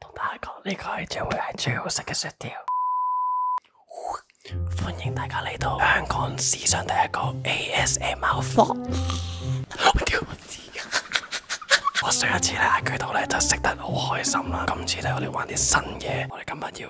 同大家讲呢个系将会系最好食嘅雪条。欢迎大家嚟到香港史上第一个 ASMR 房。我屌！我知啊！我上一次咧喺佢度咧就食得好开心啦，今次咧我哋玩啲新嘢，我哋今日要。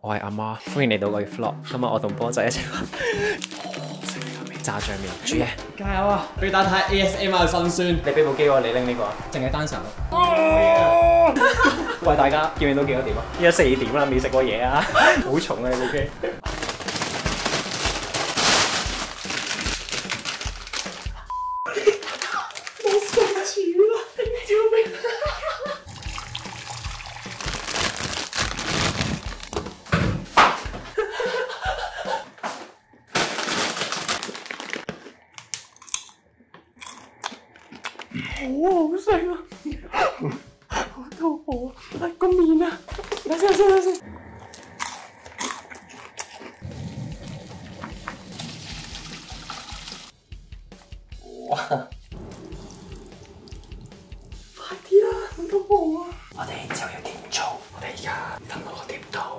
我係阿媽，歡迎嚟到我嘅 vlog。今日我同波仔一齊食炸醬面煮嘢，加油啊！俾打太 ASM 嘅辛酸。你俾部機我，你拎呢個啊，淨係單神喂大家，見面都几多點啊？依家四點啦，未食過嘢啊，好重啊你啲我笑死啦！你做咩？好啊，好细啊，我都好来攻你啦，来来来哇！快啲啦，咁都好啊！我哋之后又点做？我哋而家等我个碟到。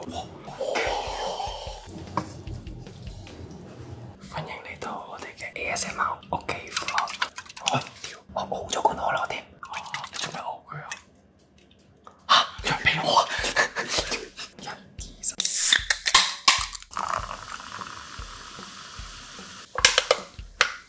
欢迎嚟到我哋嘅 ASMR 屋企房。我屌，咗罐可乐添。你做咩熬佢啊？吓，你俾我。一啲。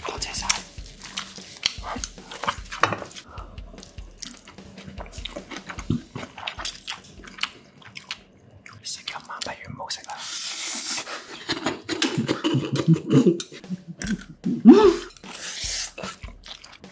好在啥？食今晚不如唔好食啦。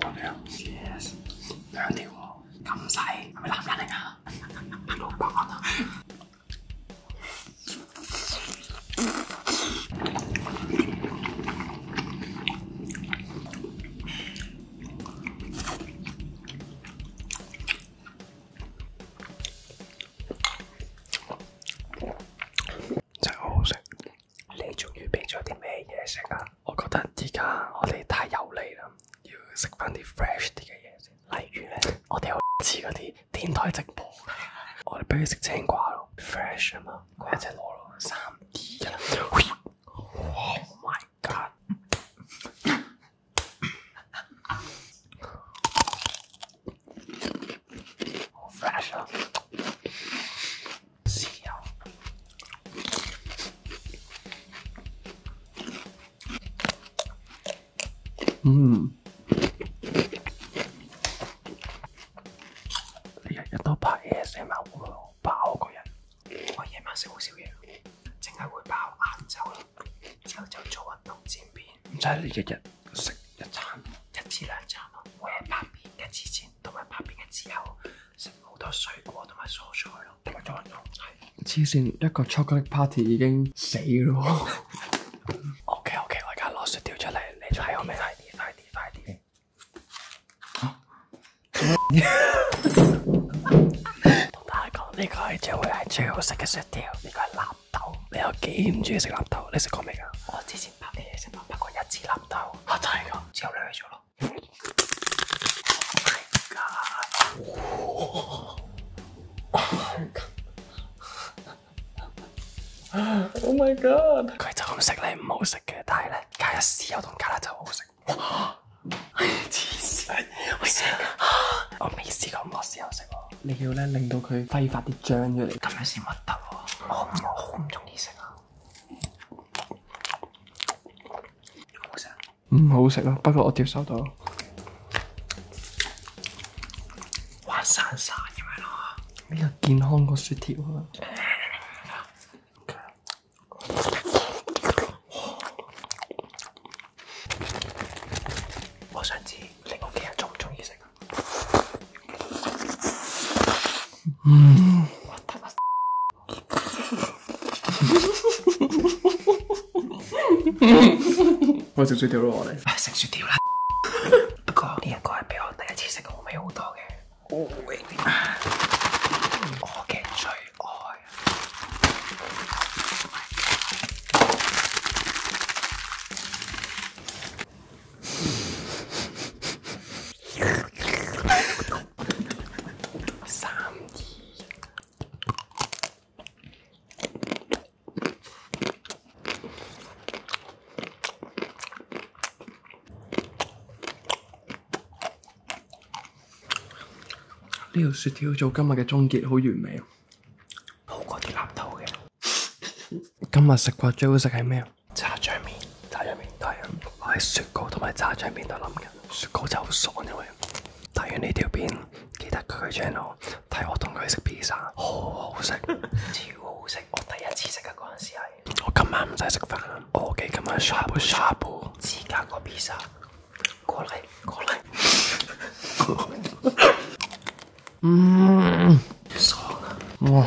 兩條，兩條喎，咁細，係咪男人嚟㗎？食 好食，你終於俾咗啲咩嘢食啊？我覺得而家我哋太油腻啦，要食翻啲 fresh 啲嘅嘢先。例如咧，我哋好似嗰啲电台直播，我哋不如食青瓜咯，fresh 啊嘛，瓜仔攞咯，三 D 一 o h my god，好 fresh 啊！食啊！嗯，日日都拍 ASMR，爆个人。我夜晚食好少嘢，净系会爆晏晝咯。后就做运动前邊，唔使你日日食一餐，一至两餐。咯。每日拍片嘅之前，同埋拍片嘅之后。食好多水果同埋蔬菜咯，同埋仲有啲咩？黐线，一个 chocolate party 已经死咯。O K O K，我而家攞雪条出嚟，你仲喺我未？快啲，快啲，快啲。同大家讲，呢个系最系最好食嘅雪条，呢个系纳豆。你有几唔中意食纳豆？你食过未噶？我之前拍电影先到拍过一次纳豆，吓真系噶，之后你去咗咯。Oh my god！o h my god！佢就咁食你唔好食嘅，但系咧加一豉油同加辣就好好食。哇！黐线，我未试过咁多豉油食喎。你要咧令到佢挥发啲酱出嚟，咁样先核突喎。我我好唔中意食咯。唔好食啊，不过我接收到，哇，潺晒你咪咯，呢个健康个雪条。我想知你屋企人中唔中意食啊？嗯。我食嘴掉咗落嚟，食树掉啦。不过呢一个系比我第一次食好味好多嘅，我嘅最爱。呢个雪条做今日嘅终结好完美，好过啲腊头嘅。今日食过最好食系咩啊？炸酱面，炸酱面，对啊，我喺雪糕同埋炸酱面度谂紧，雪糕就好爽因为睇完呢条片，记得佢 channel 睇我同佢食 pizza，好好食，超好食。我第一次食嘅嗰阵时系，我今晚唔使食饭，我几今晚沙煲沙煲，自家个 pizza，过嚟过嚟，嗯，爽啊，哇！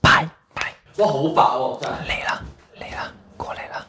拜拜。哇，好白哦，真系。嚟啦，嚟啦，过嚟啦。